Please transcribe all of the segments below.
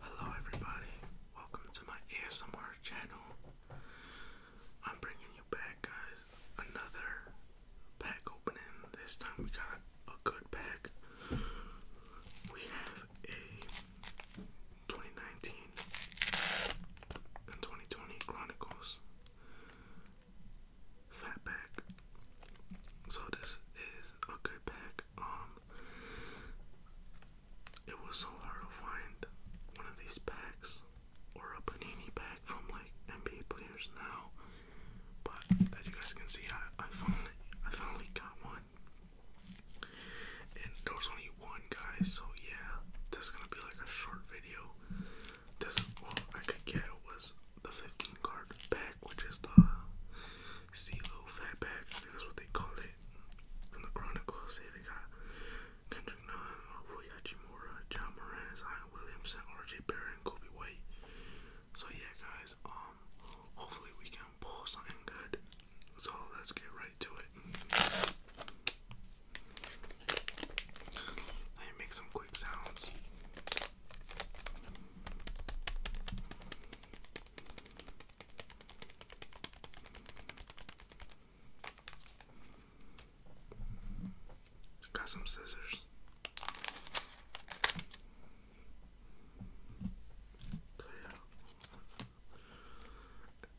Hello, everybody. Welcome to my ASMR channel. I'm bringing you back, guys, another pack opening. This time we got a good pack. We have a 2019 and 2020 Chronicles Fat Pack. So, this is a good pack um it was so hard to find one of these packs or a panini pack from like NBA players now. But as you guys can see I, I finally I finally got one. And there only one guy, so yeah, this is gonna be like a short video. This all I could get was the 15 card pack, which is the CeeLo Fat Pack. I think that's what they call it. From the Chronicles, they got Kendrick Nunn, Rui Hachimura, John Moran, Zion Williamson, RJ Barron, Kobe White. So yeah, guys. Um, hopefully we can pull something good. So let's get right to it. Let me make some quick sounds. Got some scissors. yeah.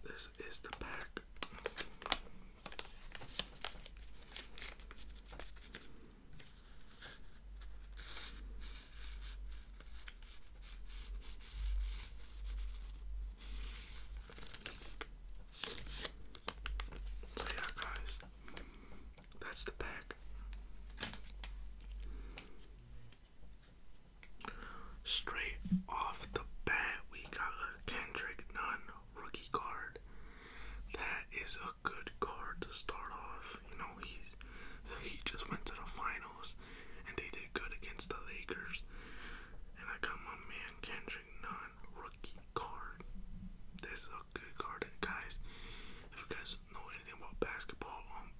This is the pack. So yeah, guys, that's the pack. Straight off the bat, we got a Kendrick Nunn rookie card. That is good card to start off. You know, he's he just went to the finals and they did good against the Lakers. And I got my man Kendrick Nunn rookie card. This is a good card, guys. If you guys know anything about basketball, um,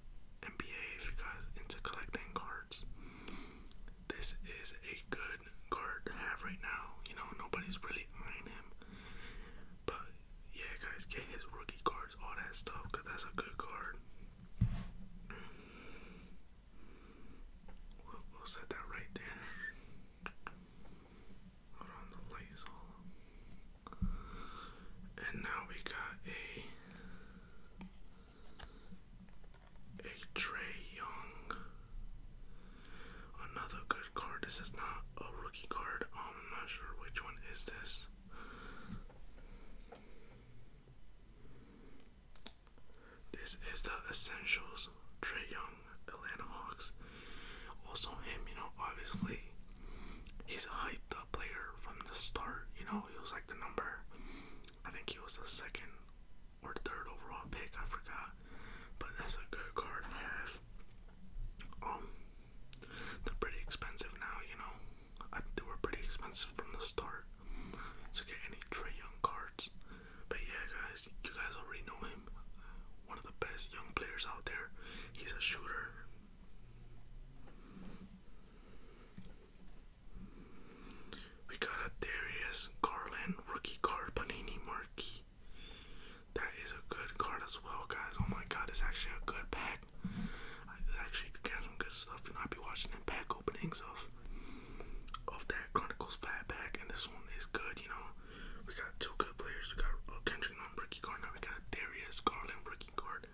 NBA, if you guys into collecting cards, this is a good card to have right now. You know, nobody's really eyeing him. But yeah, guys, get his rookie cards, all that stuff, because that's a good card. We'll, set that right there. Hold on, the light And now we got a. A Trey Young Another good card. This is not a rookie card. I'm not sure which one is this. This is the Essentials, Trey Young, Atlanta Hawks. Also him, you know, obviously he's a hyped up player from the start. You know, he was like the number I think he was the second or third overall pick, I forgot. But that's a good card to have. Um, they're pretty expensive now, you know. they were pretty expensive from the start to get any Trey Young cards. But yeah, guys, you guys already know him. One of the best young players out there. He's a shooter. We got a Darius Garland rookie card, Panini Marquee. That is a good card as well, guys. Oh my god, it's actually a good pack. I actually could get some good stuff. You know, I'll be watching the pack openings of of that Chronicles flat pack, and this one is good. You know, we got two good players. We got a Kendrick on card. Now we got Darius Garland rookie card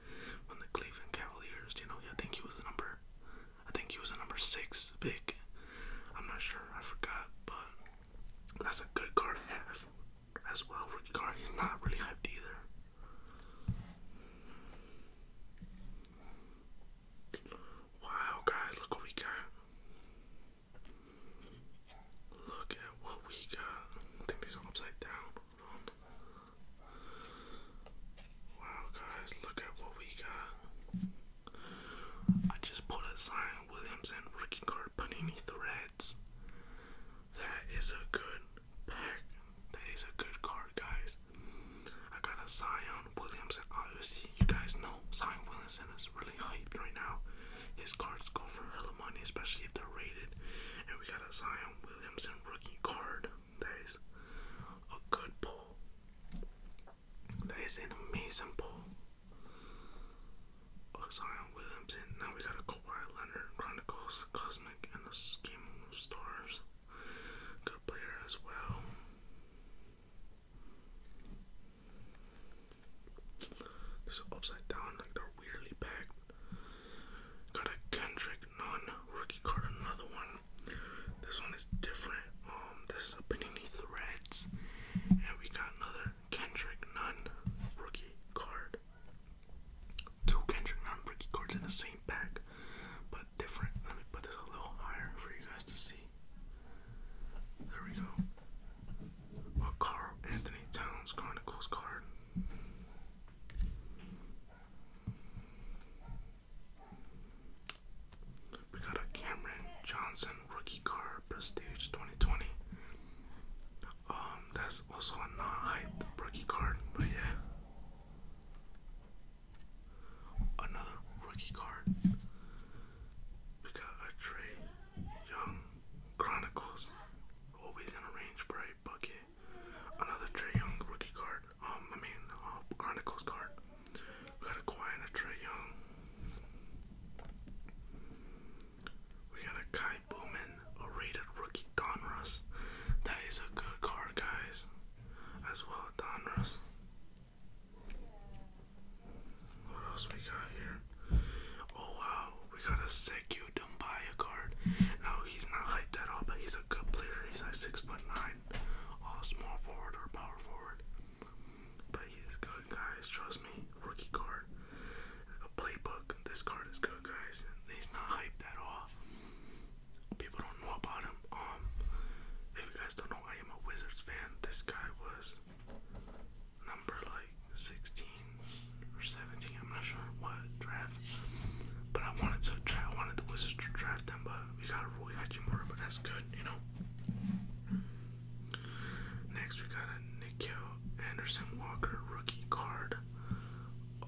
from the Cleveland Cavaliers. You know, I think he was a number. I think he was the number six pick I'm not sure, I forgot, but that's a good card to have as well. Rookie card, he's not really hyped either. Wow, guys, look what we got. Look at what we got. I think these are upside down. Wow, guys, look at what we got. I just put a Zion Williamson rookie card Panini Threads. That is a good pack. That is a good card, guys. I got a Zion Williamson. Obviously, you guys know Zion Williamson is really hyped right now. His cards go for a of money, especially if they're rated. And we got a Zion Williamson rookie card. That is a good pull. That is an amazing pull. Oxion oh, Williamson. Now we got a Kawhi Leonard, Chronicles, Cosmic, and the Scheme of Stars. Good player as well. This is upside down, like they're weirdly packed. Got a Kendrick non rookie card, another one. This one is different. Um, this is a Panini Threads, and we got another Kendrick Nunn rookie card. Two Kendrick Nunn rookie cards in the same pack, but different. Let me put this a little higher for you guys to see. There we go. A Carl Anthony Towns Chronicles card. We got a Cameron Johnson rookie card, Prestige 2020. Um, that's also a non-hyped rookie card, but yeah. Another rookie card. We got a Trey Young Chronicles, always in a range for a bucket. Another Trey Young rookie card. Um, I mean, um, Chronicles card. We got a Quiet and a Trey Young. We got a Kai Bowman, a rated rookie Donruss. That is a good card, guys. As well, Donruss. What else we got here? Oh wow, we got a Sekou Dumbaya card. No, he's not hyped at all, but he's he's a good player. He's like six foot nine, all small forward or power forward. But he's good, guys. Trust me. Rookie card, a playbook. This card is good, guys. He's not hyped at all. People don't know about him. Um, if you guys don't know, I am a Wizards fan. This guy was number like 16 or 17. I'm not sure what draft. But I wanted to the Wizards to draft them, but we got a Rui Hachimura, but that's good, you know. Next, we got a Nikhil Anderson Walker rookie card. Uh,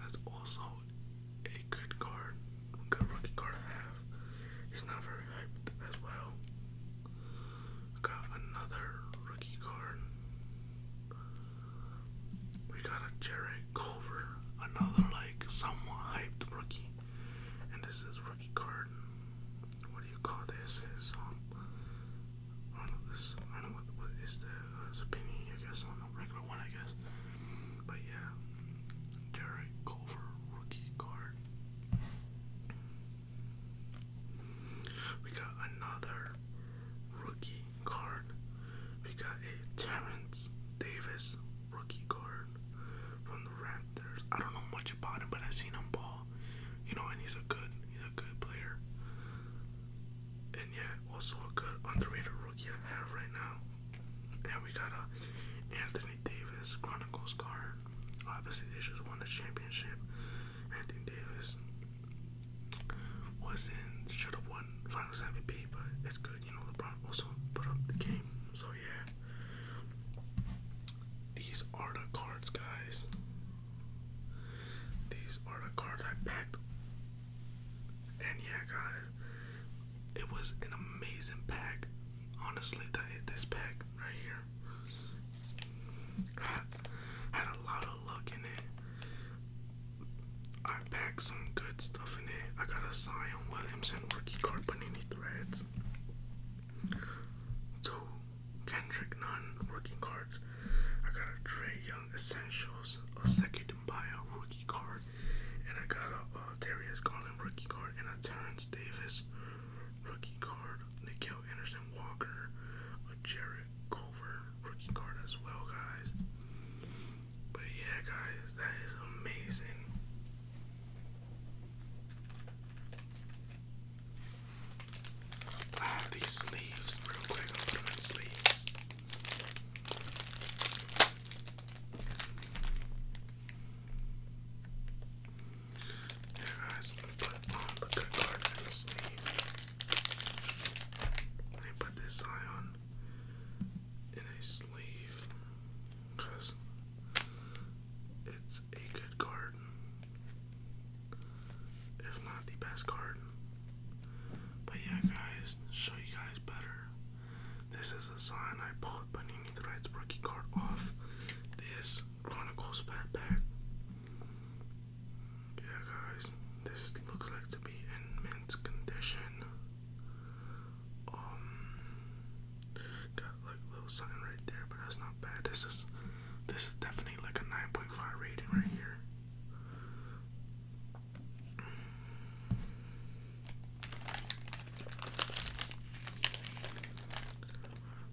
That's also a good card. Good rookie card I have. He's not very hyped as well. Got another rookie card. We got a Jared Culver, another like somewhat hyped rookie. And this is rookie card. What do you call this? Is um, I don't know this I don't know what, what is the uh, I guess on a regular one I guess. But yeah. Jared Culver rookie card. We got another rookie card. We got a Terrence Davis rookie card from the Raptors. I don't know much about him, but I've seen him ball. You know, and he's a good, he's a good player. And yeah, also a good underrated rookie I have right now. And we got a Anthony Davis Chronicles card. Obviously, they just won the championship. Anthony Davis wasn't should have won Finals MVP, but it's good, you know. LeBron also put up the game, so yeah. These are the cards, guys. These are the cards I packed, and yeah, guys, it was an amazing pack. Honestly, that this pack right here. I had a lot of luck in it. I packed some good stuff in it. I got a Zion Williamson rookie card panini threads. Two Kendrick Nunn rookie cards. I got a Trey Young Essentials, a second bio rookie card, and I got a uh, Garland rookie card and a Terrence Davis rookie card. Nikhil Anderson Walker, a Jared Culver rookie card as well, guys. But yeah, guys, that is amazing. I have these sleeves real quick. I'll put them in sleeves. Now, guys, put on the good part in the sleeve. Let put this eye on in a sleeve because it's a good card, if not the best card. But yeah, guys, show you guys better. This is a sign I put. But to write Threads rookie card off this Chronicles Fatback. Yeah, guys, this looks like to be in mint condition. Um, got like little something right there, but that's not bad. This is this is definitely like a nine point five rating right here.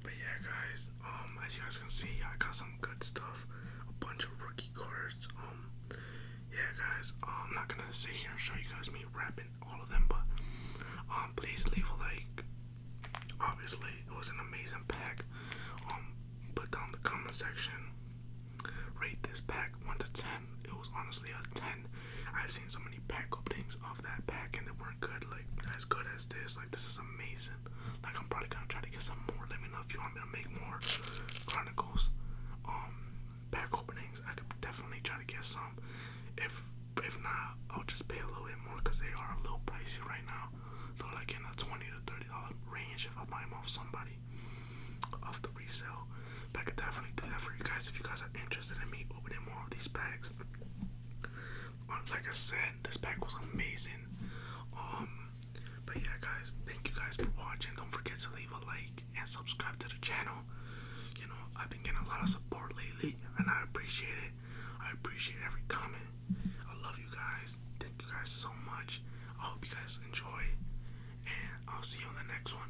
But yeah, guys, um, as you guys can see, I got some good stuff, a bunch of rookie cards. Um, yeah, guys, uh, I'm not gonna sit here and show you guys me wrapping all of them, but um, please leave a like. Obviously, it was an amazing pack. put down the comment section. Rate this pack one to ten. It was honestly a ten. I've seen so many pack openings of that pack and that weren't good, like as good as this. Like this is amazing. Like I'm probably gonna try to get some more. Let me know if you want me to make more Chronicles um pack openings. I could definitely try to get some. If if not, I'll just pay a little bit more because they are a little pricey right now. So like in the twenty to thirty dollar range if I buy them off somebody off the resale. But I could definitely do that for you guys if you guys are interested in me opening more of these packs. Uh, like I said, this pack was amazing. Um, but yeah, guys, thank you guys for watching. Don't forget to leave a like and subscribe to the channel. You know, I've been getting a lot of support lately, and I appreciate it. I appreciate every comment. I love you guys. Thank you guys so much. I hope you guys enjoy, and I'll see you on the next one.